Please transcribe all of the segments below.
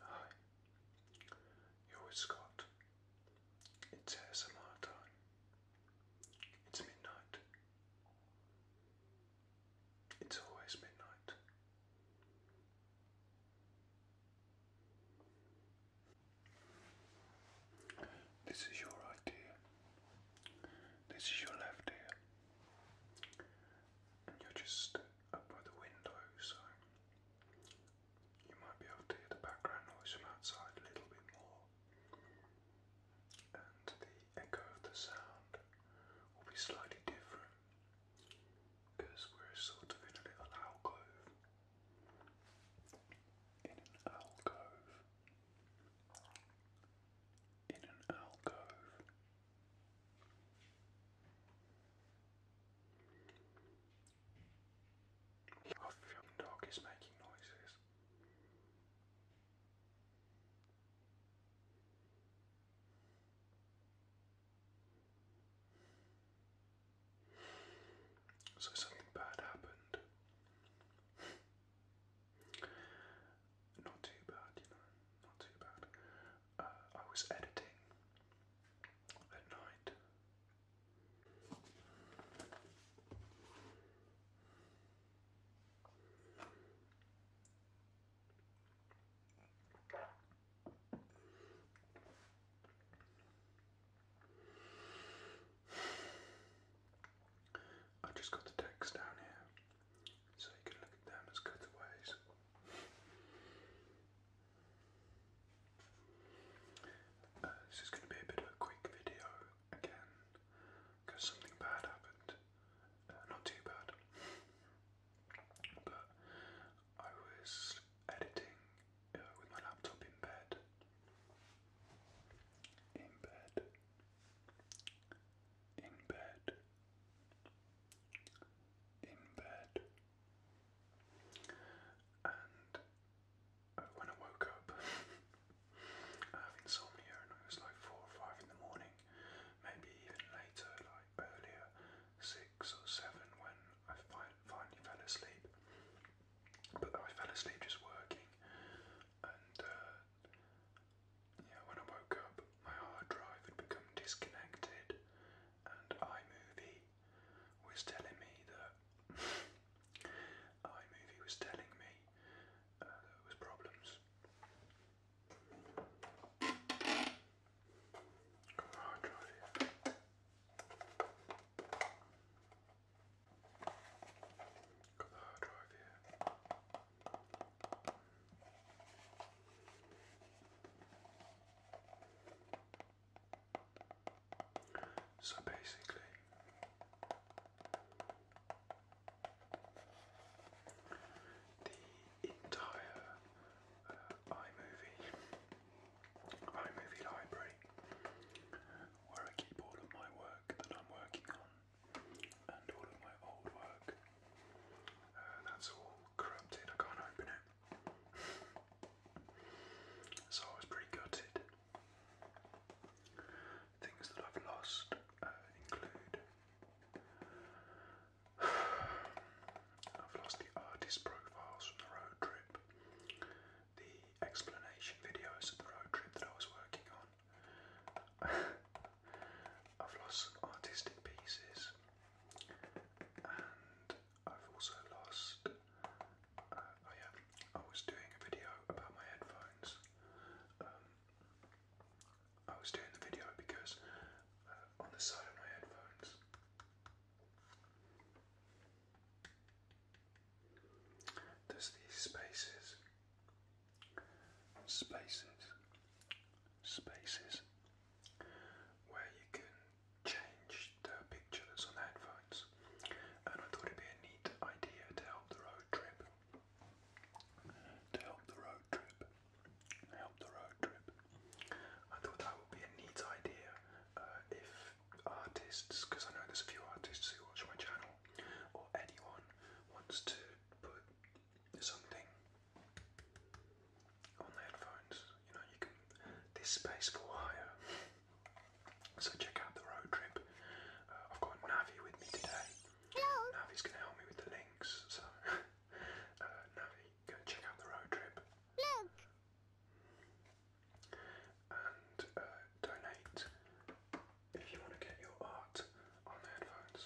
Hi, you're with Scott. It's ASMR time. It's midnight. It's always midnight. This is your right This is your left ear. you're just up by the window, so you might be able to hear the background noise from outside a little bit more. And the echo of the sound will be slightly different because we're sort of in a little alcove. In an alcove. In an alcove. A film dog is making noises. So something bad happened. Not too bad, you know, not too bad. I was editing at night. I just got the text down here. So you can look at them as cutaways. Uh, this is going to be a bit of a quick video again, because something bad happened. Uh, not too bad, but I was editing uh, with my laptop in bed. In bed. In bed in bed. And when I woke up, I have insomnia, and it was like four or five in the morning, maybe even later, like earlier, six or seven, when I finally fell asleep. But I fell asleep just working, and uh, yeah, when I woke up, my hard drive had become disconnected, and iMovie was telling me that iMovie was telling me uh, there was problems. Got my hard drive here. Got the hard drive here. So basically, the entire uh, iMovie, iMovie library, where I keep all of my work that I'm working on, and all of my old work. Uh, that's all corrupted, I can't open it. so I was pretty gutted. Things that I've lost uh, include I've lost the artist profiles from the road trip, the explanation videos of the road trip that I was working on. I've lost artistic pieces, and I've also lost. Uh, oh yeah, I was doing a video about my headphones. Um, I was doing the video because uh, on the side of my headphones, there's these spaces spaces, spaces where you can change the pictures on headphones, and I thought it'd be a neat idea to help the road trip. To help the road trip, help the road trip. I thought that would be a neat idea uh, if artists, because I know there's a few artists who watch my channel, or anyone wants to put something on headphones. You know, you can. There's space for hire. So check out the road trip. Uh, I've got Navi with me today. Hello. Navi's gonna help me with the links. So uh, Navi, go check out the road trip. Look. And uh, donate if you want to get your art on headphones.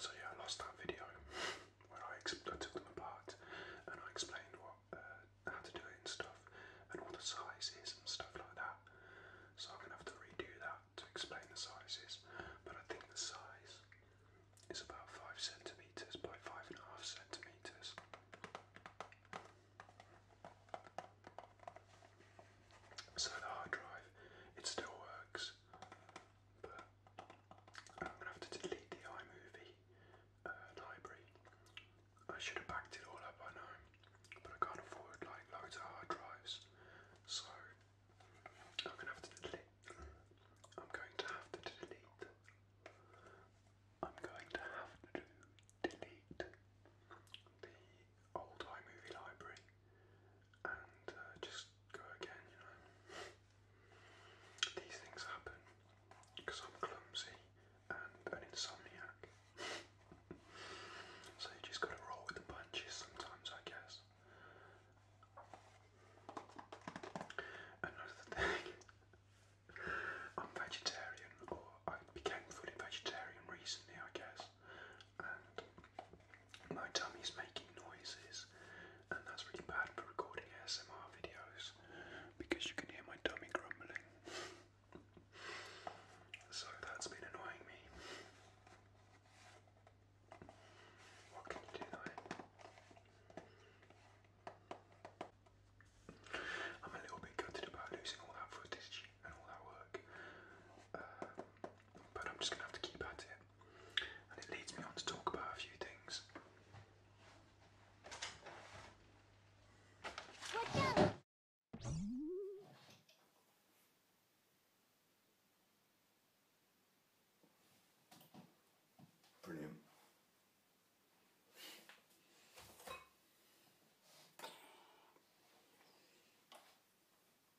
So yeah, I lost that video where I, I took them apart and I explained what uh, how to do it and stuff, and all the sizes and stuff like that. So I'm gonna have to redo that to explain the sizes. But I think the size is about five centimeters by five and a half centimeters. So the hard drive, it still works, but I'm gonna have to delete the iMovie uh, library. I should have backed it all up, I know, but I can't afford like loads of hard drives, so I'm gonna have to delete. I'm going to have to delete. I'm going to have to delete old iMovie library and uh, just go again, you know. These things happen because I'm clumsy and an insomniac. so you just gotta roll with the punches sometimes, I guess. Another thing, I'm vegetarian, or I became fully vegetarian recently, I guess my tummy's making noises, and that's really bad for recording ASMR videos because you can hear my tummy grumbling. so that's been annoying me. What can you do I'm a little bit gutted about losing all that footage and all that work. Um, but I'm just going to have to keep at it. And it leads me on to talk about a few things. Brilliant.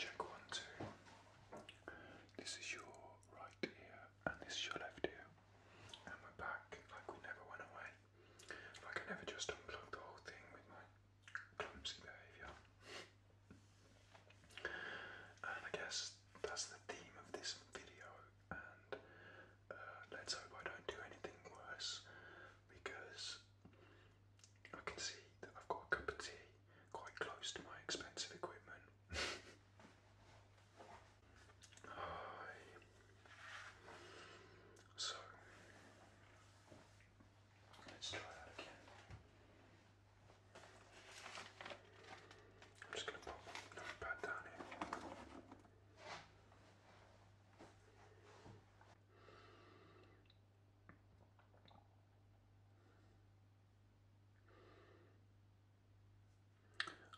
Check one, two. This is your right ear, and this is your left ear. And we're back like we never went away. Like I never just unplugged the whole thing with my clumsy behaviour. And I guess that's the theme of this video. And uh, let's hope I don't do anything worse because I can see that I've got a cup of tea quite close to my expensive equipment. So let's try that again. I'm just going to put the notepad down here.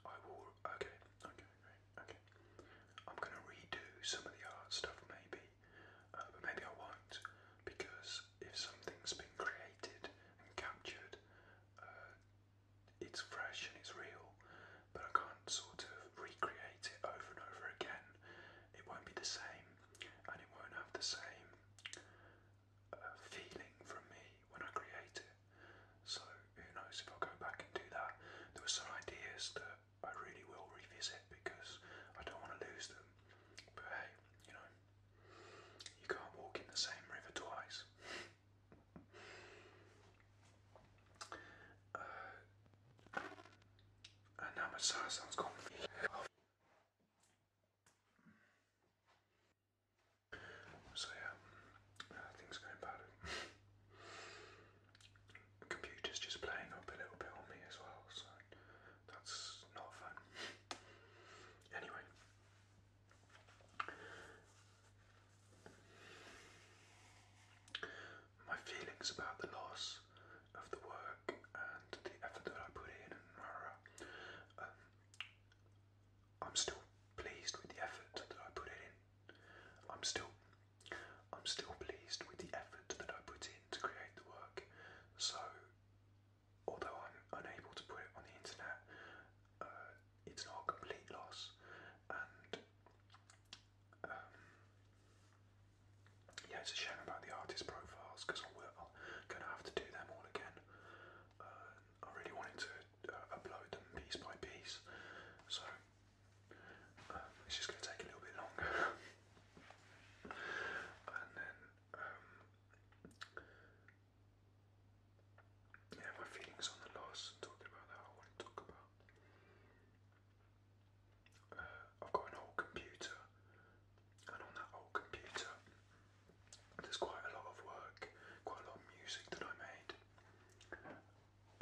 I will. Okay, okay, okay, okay. I'm gonna redo some of the art stuff, maybe, uh, but maybe I won't because if something's been created and captured, uh, it's fresh and it's real, but I can't sort of recreate it over and over again. It won't be the same, and it won't have the same uh, feeling from me when I create it. So who knows if I'll go back and do that? There were some ideas that I really will revisit because I don't want to lose them. But hey, you know, you can't walk in the same river twice. Uh, and now my sir sounds gone. So yeah, uh, things are going bad. computer's just playing up a little bit on me as well, so that's not fun. Anyway. My feelings about the loss of the work and the effort that I put in um, I'm still pleased with the effort that I put in. I'm still I'm still pleased with the effort that I put in to create the work. So although I'm unable to put it on the internet, uh, it's not a complete loss. And um, yeah, it's a shame about the artist profiles because I'm going to have to do them all again. Uh, I really wanted to uh, upload them piece by piece, so um, it's just going to take a little bit longer. and then um, yeah, my feelings on the loss and about that, I want to talk about. Uh, I've got an old computer, and on that old computer, there's quite a lot of work, quite a lot of music that I made.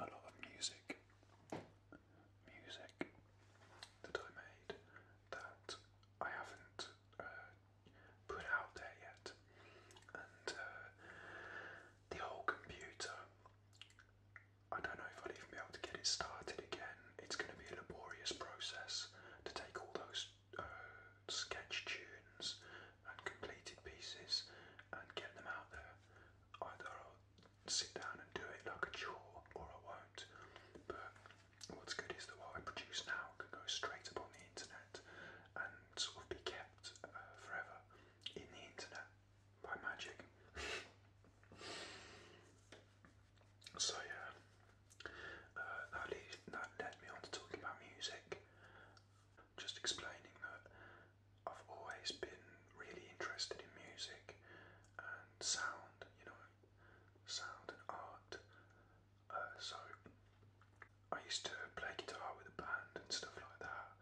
A lot of music, music that I made that I haven't uh, put out there yet. And uh, the whole computer, I don't know if I'd even be able to get it started again. It's going to be a laborious process to take all those uh, sketch tunes and completed pieces and get them out there. Either I'll sit down and do it like a chore or I won't. But What's good is that what I produce now can go straight upon the internet and sort of be kept uh, forever in the internet by magic. so yeah, uh, that led me on to talking about music. Just explaining that I've always been really interested in music and sound, you know, sound and art uh, so I used to play guitar with a band and stuff like that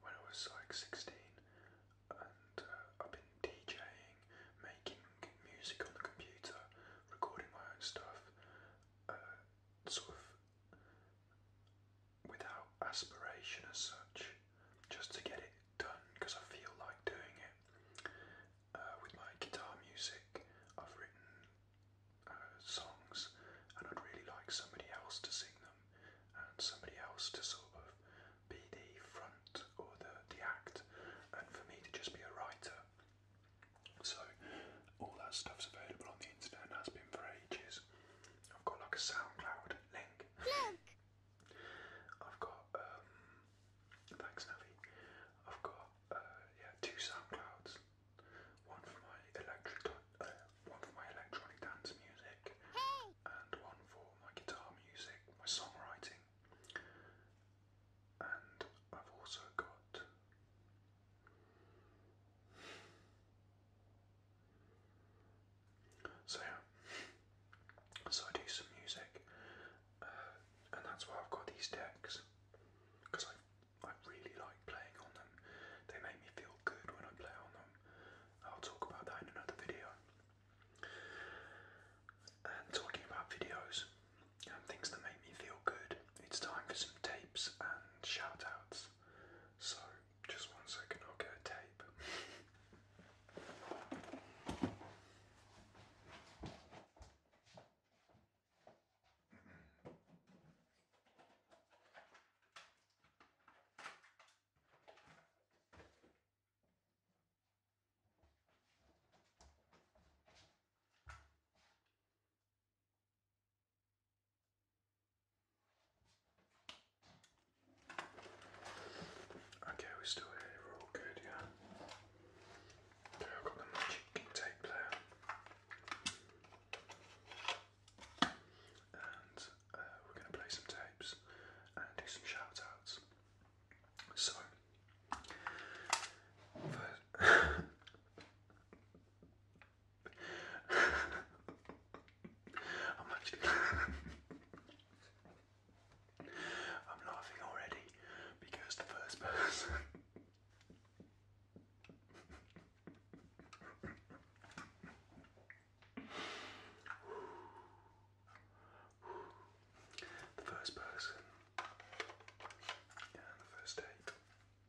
when I was like 16, and uh, I've been DJing, making music on the computer, recording my own stuff, uh, sort of without aspiration as such, just to get it done because I feel like doing it uh, with my guitar music. I've written uh, songs, and I'd really like somebody else to sing them, and somebody else to sort of be the front or the the act, and for me to just be a writer. So all that stuff's available on the internet and has been for ages. I've got like a SoundCloud link. Look. I've got um, thanks Navi. I've got uh, yeah two SoundClouds, one for my electric, uh, one for my electronic dance music, and one for my guitar music, my songwriting, and I've also got. So yeah, so I do some music, and that's why I've got these decks because I I really like playing on them. They make me feel good when I play on them. I'll talk about that in another video. And talking about videos and things that make me feel good, it's time for some tapes and shout So, just one second, I'll get a tape. Okay, we're still here, we're all good, yeah? I've got the magic tape there. And uh, we're going to play some tapes and do some shoutouts. So, first. I'm actually. I'm laughing already because the first person the first person yeah, the first date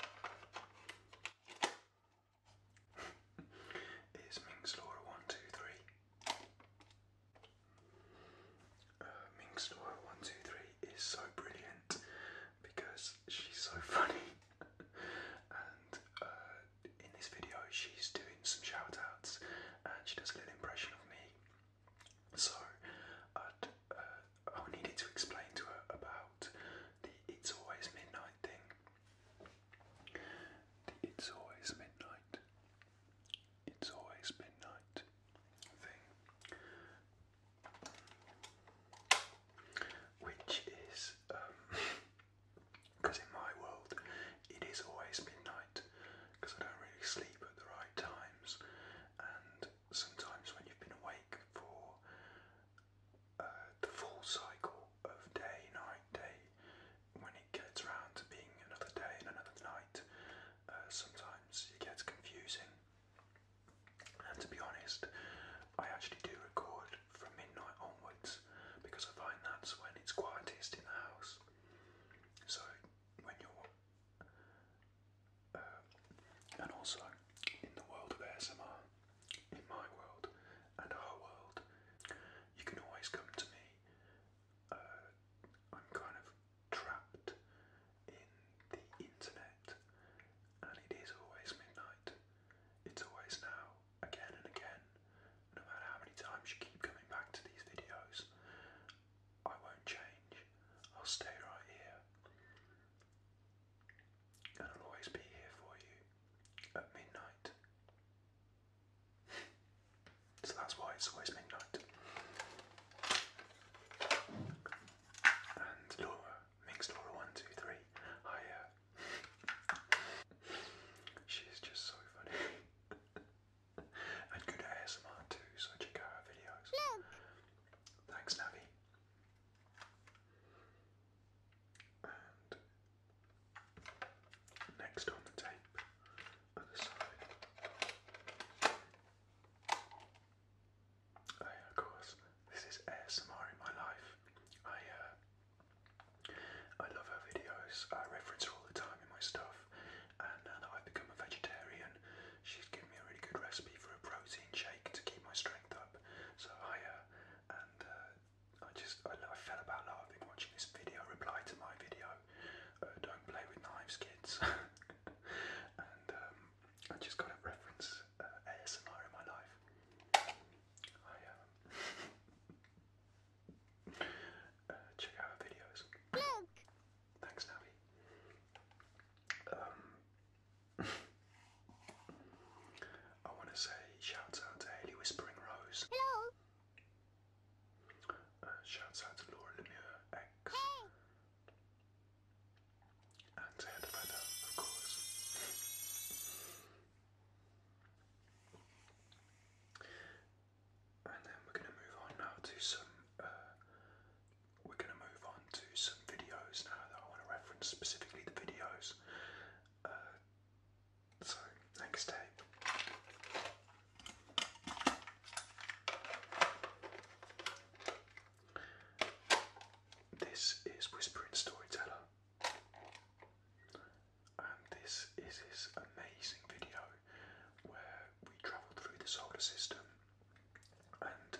is Minx Laura one two three. Uh, 123 is so brilliant because she's so funny. and uh, in this video, she's doing some shout outs and she does a little impression of me. So i uh, I needed to explain to her about the It's Always Midnight thing. It's Always Midnight it's always been night thing, which is because um, in my world it is always midnight because I don't really sleep at the right times, and sometimes when you've been awake for uh, the full cycle of day, night, day, when it gets round to being another day and another night, uh, sometimes it gets confusing. And to be honest, I actually do record from midnight onwards because I find that's when it's quietest in the house. So when you're, uh, and also in the world of ASMR, in my world and our world, you can always come to me. Uh, I'm kind of trapped in the internet, and it is always midnight. It's always now, again and again. No matter how many times you keep coming back to these videos, I won't change. I'll stay right here. And I'll always be here for you at midnight. So that's why it's always midnight. And Laura, Minx Laura 123, hi, uh, she is just so funny. and good ASMR too, so check out her videos. Thanks, Navi. And next on the tape Oh, of course. This is ASMR in my life. I uh, I love her videos. I reference her all the time in my stuff. And now that I've become a vegetarian, she's given me a really good recipe for a protein shake to keep my strength up. So I uh, and uh, I just I, I fell about laughing watching this video reply to my video uh, don't play with knives, kids. and um, I just got to reference uh, ASMR in my life. I um, uh, check out videos. Look. Thanks, Navi. Um, I want to say shouts out to Haley Whispering Rose. Hello. Uh, shouts out to Laura Lemieux X. And to Heather Feather, of course. And then we're going to move on now to some. Uh, we're going to move on to some videos now that I want to reference specifically the videos. Uh, so, next tape. This is Whispering Storyteller, and this is his amazing video where we travel through the solar system and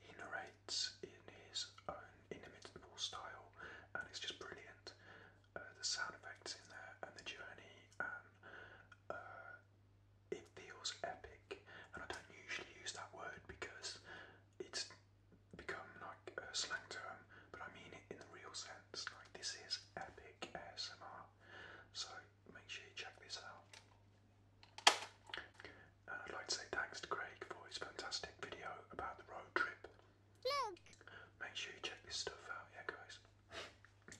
he narrates in his own inimitable style, and it's just brilliant. Uh, the sound effects in there, and the journey, and uh, it feels epic, and I don't usually use that word because it's become like a slang term, but I mean it in the real sense. Like this is epic ASMR, so make sure you check this out. And I'd like to say thanks to Craig for his fantastic video about the road trip. Look! Make sure you check this stuff out, yeah, guys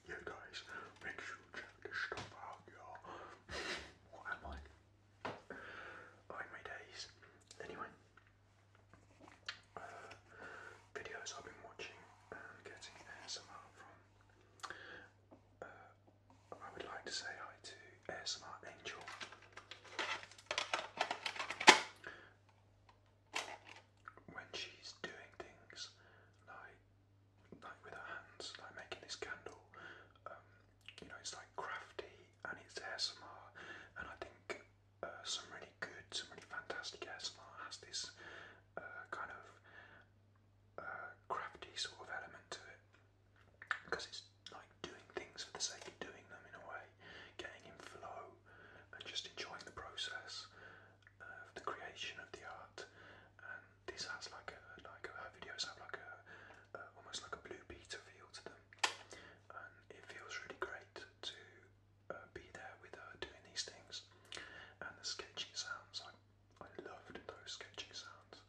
yeah guys, make sure you check this stuff out, y'all. am I? my days. Anyway, uh, videos I've been watching getting ASMR from. Uh, I would like to say hi to ASMR Angel when she's doing things like like with her hands, like making this candle, um, you know, it's like crafty and it's ASMR, and I think uh, some really good, some really fantastic ASMR has this uh, kind of uh, crafty sort of element to it, because it's like doing things for the sake of doing them in a way, getting in flow and just enjoying the process the creation of the art, and this has like a like her videos have like a, almost like a blue beta feel to them, and it feels really great to uh, be there with her doing these things, and the sketching sounds I I loved those sketching sounds,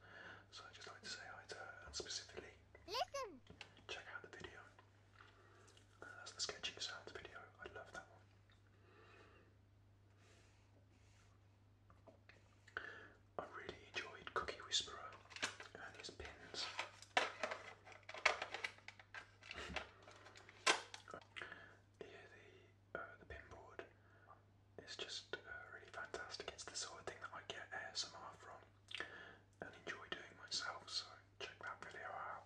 so I just like to say I to and specifically listen check out the video. Uh, that's the sketching sounds video. I love that one. I really enjoyed Cookie Whisperer and his pins. yeah, uh, the pin board is just uh, really fantastic. It's the sort of thing that I get ASMR from and enjoy doing myself. So check that video out.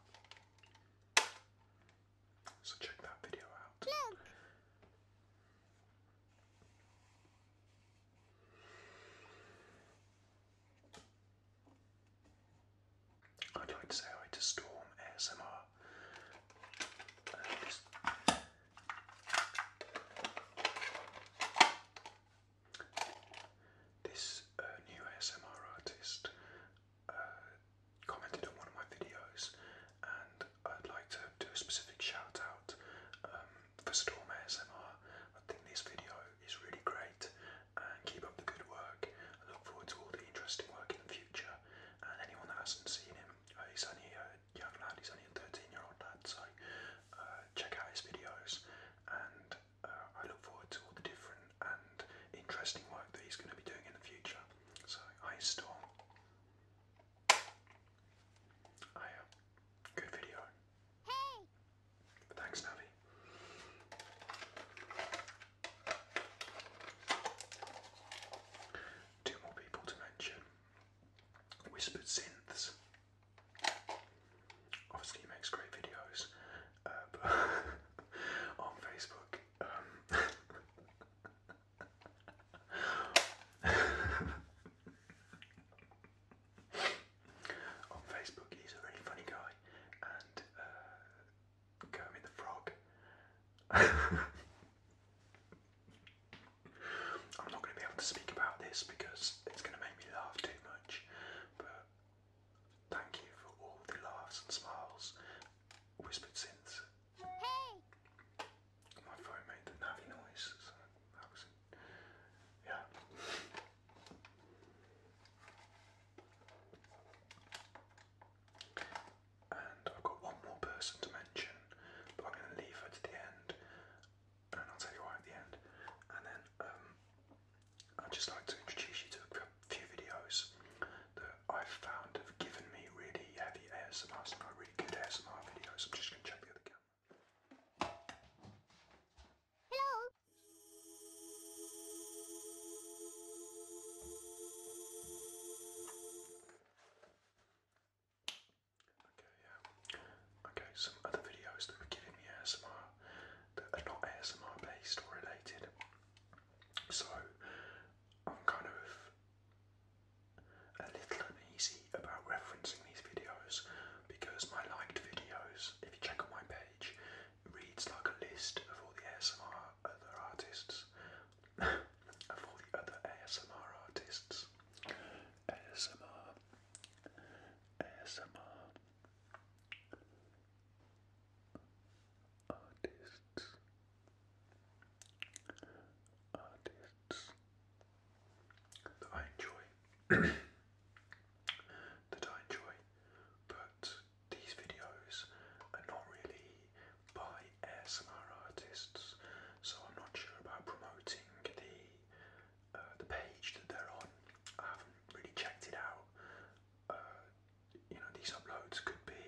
So check that video out. I'd like to say hi to Storm ASMR. Uh, this, uh, new ASMR artist uh, commented on one of my videos, and I'd like to do a specific shout out um, for Storm ASMR. I think this video is really great, and keep up the good work. I look forward to all the interesting work in the future. And anyone that hasn't seen him, uh, he's only uh, a young lad. He's only a 13-year-old lad, so check out his videos. And I look forward to all the different and, interesting work that he's going to be doing in the future. So, I Storm. I uh, good video. Hey. Thanks, Navi. Two more people to mention. Whispered Synths. Obviously, he makes great videos, uh, on Facebook on Facebook, he's a really funny guy, and Kermit uh, the Frog. I'm not going to be able to speak about this because it's going to make me laugh too much, but Thank you for all the laughs and smiles, whispered since. Hey! My phone made the navvy noise, Yeah. And I've got one more person to mention, but I'm going to leave her to the end, and I'll tell you why at the end. And then um, I'd just like to introduce you to a few videos that I've found have given me really heavy ASMR, some really good ASMR videos. I'm just going to check the other camera. Hello. Okay, yeah. Okay, some other videos that were giving me ASMR that are not ASMR based or related. So I'm kind of a little uneasy about referencing these videos because my liked videos, if you check on my page, reads like a list of all the ASMR other artists, of all the other ASMR artists. ASMR, ASMR, artists, artists that I enjoy, that I enjoy, but these videos are not really by ASMR artists, so I'm not sure about promoting the uh, the page that they're on. I haven't really checked it out. Uh, you know these uploads could be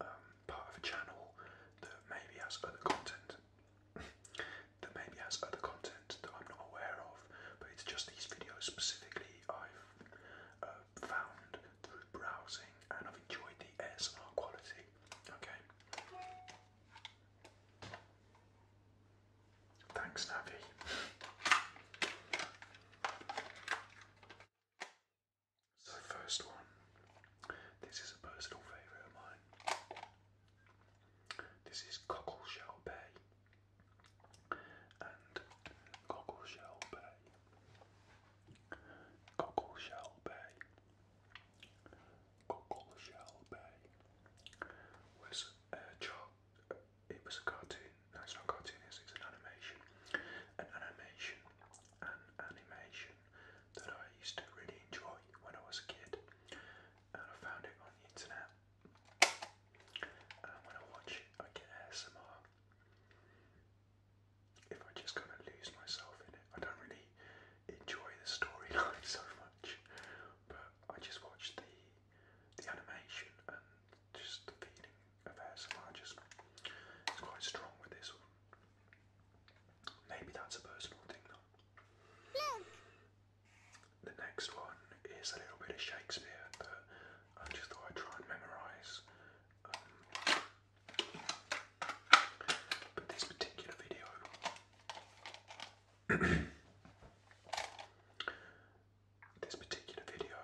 um, part of a channel that maybe has other content that maybe has other content that I'm not aware of, but it's just these videos specifically I've uh, found through browsing and I've enjoyed the SR quality. Okay. Thanks, Navi. So, first one. This is a personal favourite of mine. This is Cockleshell Bay. And Cockleshell Bay. Cockleshell Bay. Cockleshell Bay was a it was a cartoon. No, it's not a cartoon. It's, it's an animation, an animation, an animation that I used to really enjoy when I was a kid, and I found it on the internet. And when I watch it, I get ASMR. If I just kind of lose myself in it, I don't really enjoy the storyline so much. But I just watch the the animation and just the feeling of ASMR just is quite strong with this Maybe that's a personal thing though. The next one is a little bit of Shakespeare, but I just thought I'd try and memorise. Um, but this particular video this particular video,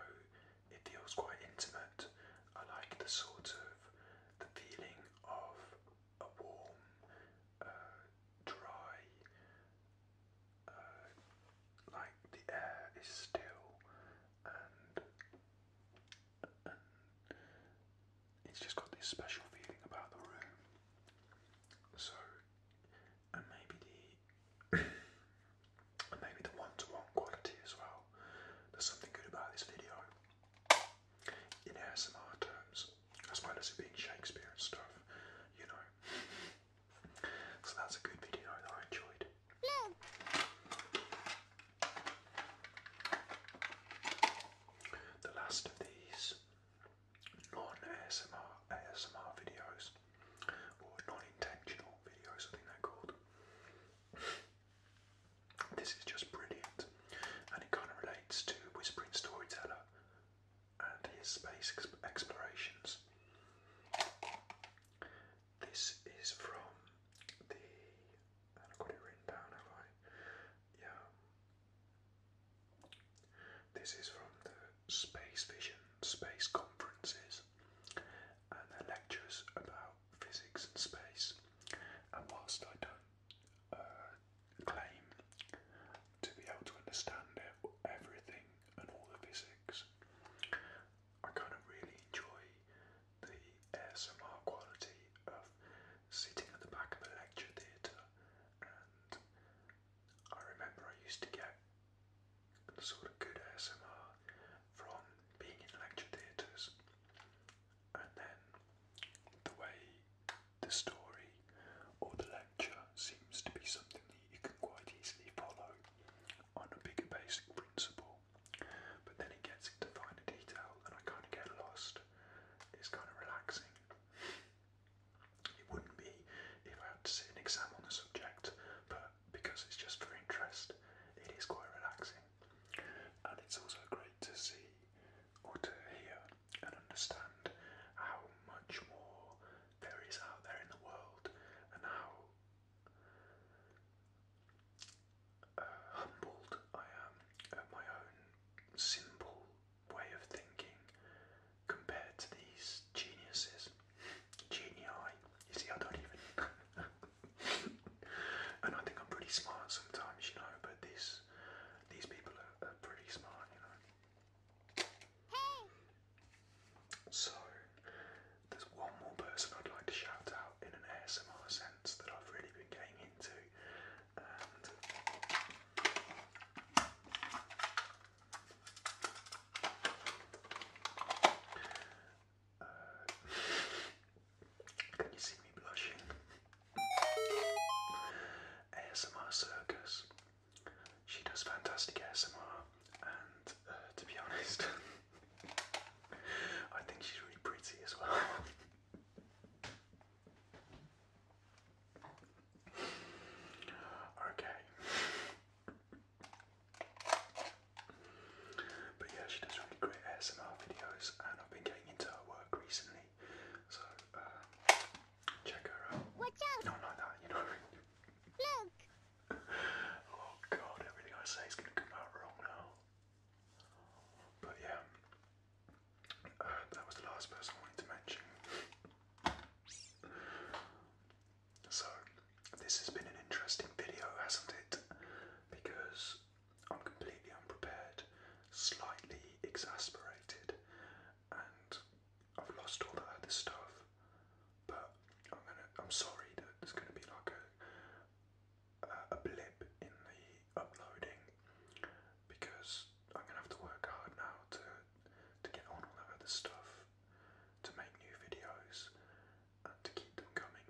it feels quite intimate. I like the sort of the feeling of a warm, uh, dry, uh, like the air is still and it's just got this special feeling about the room. So and maybe the and maybe the one-to-one quality as well. There's something good about this video in ASMR terms, as well as it being Shakespeare and stuff, you know. So that's a good video I enjoyed. The last of these non-ASMR ASMR videos or non-intentional videos, I they called. This is just brilliant, and it kind of relates to Whispering Storyteller and his space explorations. This is from the. i got it written down, have I? Yeah. This is from the space vision, space conferences, and lectures about physics and space. And whilst I don't uh, claim to be able to understand everything and all the physics, I kind of really enjoy the ASMR quality of sitting at the back of a lecture theatre I remember I used to get the sort of good ASMR from being in lecture theatres, and then the way the story or the lecture seems to be something that you can quite easily follow on a bigger basic principle, but then he gets into finer detail and I kind of get lost. It's kind of relaxing. It wouldn't be if I had to sit an exam on the subject, but because it's just for interest, it is quite relaxing. And it's also great to see or to hear and understand how much more there is out there in the world and how uh, humbled I am at my own simple way of thinking compared to these geniuses. Genii, you see, I don't even. and I think I'm pretty smart sometimes, you know. But these these people are, pretty smart, you know. Hey. So there's one more person I'd like to shout out in an ASMR sense that I've really been getting into, can you see me blushing? ASMR Circus. She does fantastic ASMR, and uh, to be honest, I think she's really pretty as well. Okay. But yeah, she does really great ASMR videos, and I've been getting into her work recently, so um, check her out. Watch out! that, you know. Look! oh god, everything I say is gonna come out wrong now. But yeah, uh, that was the last person I wanted to mention. So, this has been an interesting video, hasn't it? Because I'm completely unprepared, slightly exasperated, and I've lost all that other stuff. But I'm gonna, I'm sorry that there's gonna be like a, a, blip in the uploading because I'm gonna have to work hard now to to get on all that other stuff, to make new videos, and to keep them coming.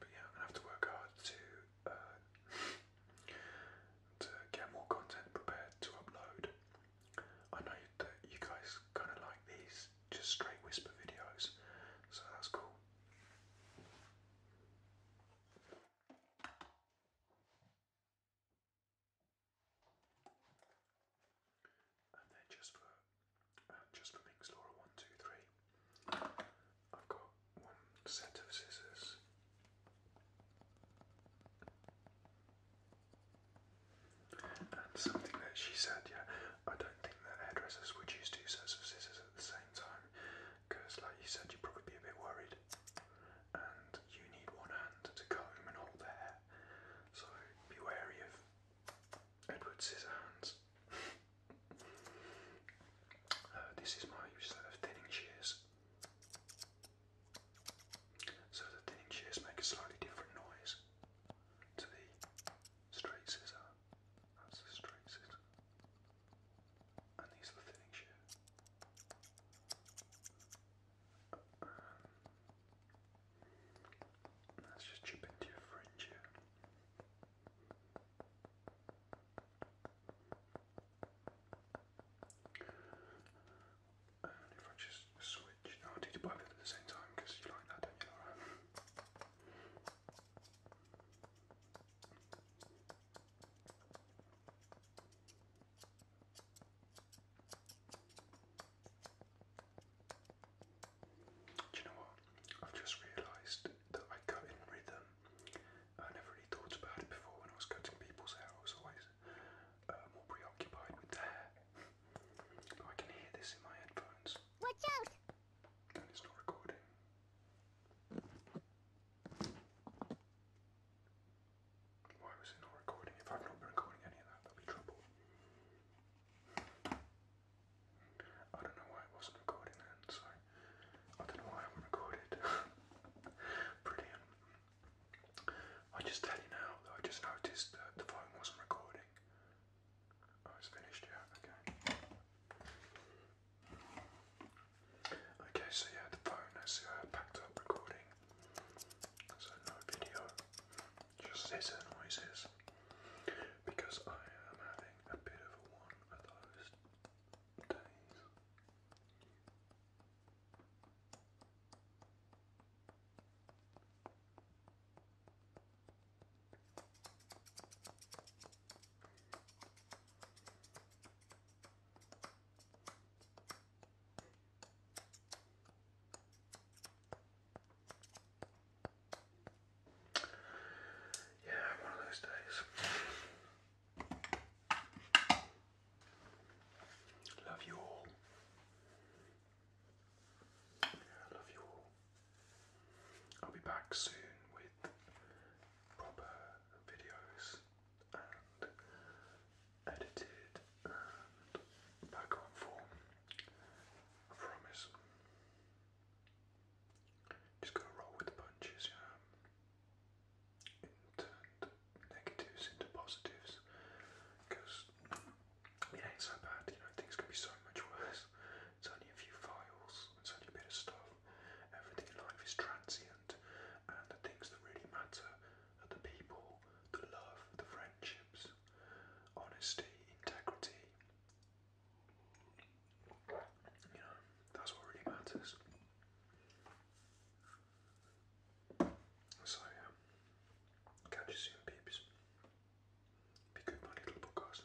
But yeah, i have to work hard to uh, to get more content prepared to upload. I know that you guys kind of like these just straight whisper videos, so that's cool. And then just for uh, just for Minx Laura one, two, three, I've got one set of scissors. And something that she said, yeah, I don't think that hairdressers would use two sets of scissors at the same time, because, like you said, you'd probably be a bit worried and you need one hand to comb and hold the hair. So be wary of Edward Scissorhands. Uh, this is my set of thinning shears. So the thinning shears make a slightly different noise to the straight scissor. And these are thinning shears let's just chip into your fringe And if I just switch, no, oh, I do both at the same time because you like that, don't you, do you know what? I've just realised that I cut in rhythm. I never really thought about it before when I was cutting people's hair. I was always uh, more preoccupied with their I can hear this in my headphones. Watch out! And it's not recording. Why was it not recording? If I've not been recording any of that, that'll be trouble. I don't know why it wasn't recording then, so I don't know why I haven't recorded. Brilliant. I just tell you now that I just noticed the phone wasn't recording. Oh, it's finished, yeah, okay. Okay, so yeah, the phone has uh, backed up recording so no video, just this noises, because I am having a bit of a one of those days. Yeah, one of those days. Love you all. I love you all. I'll be back soon with proper videos edited and back on form. I promise. Just gotta roll with the punches, you negatives into positives because it ain't so bad, you know, things can be so much worse. It's only a few files, it's only a bit of stuff. Everything in life is transient, and the things that really matter the people, the love, the friendships, honesty, integrity. You know, that's what really matters. So, catch you soon, peeps. Be good, my little podcast.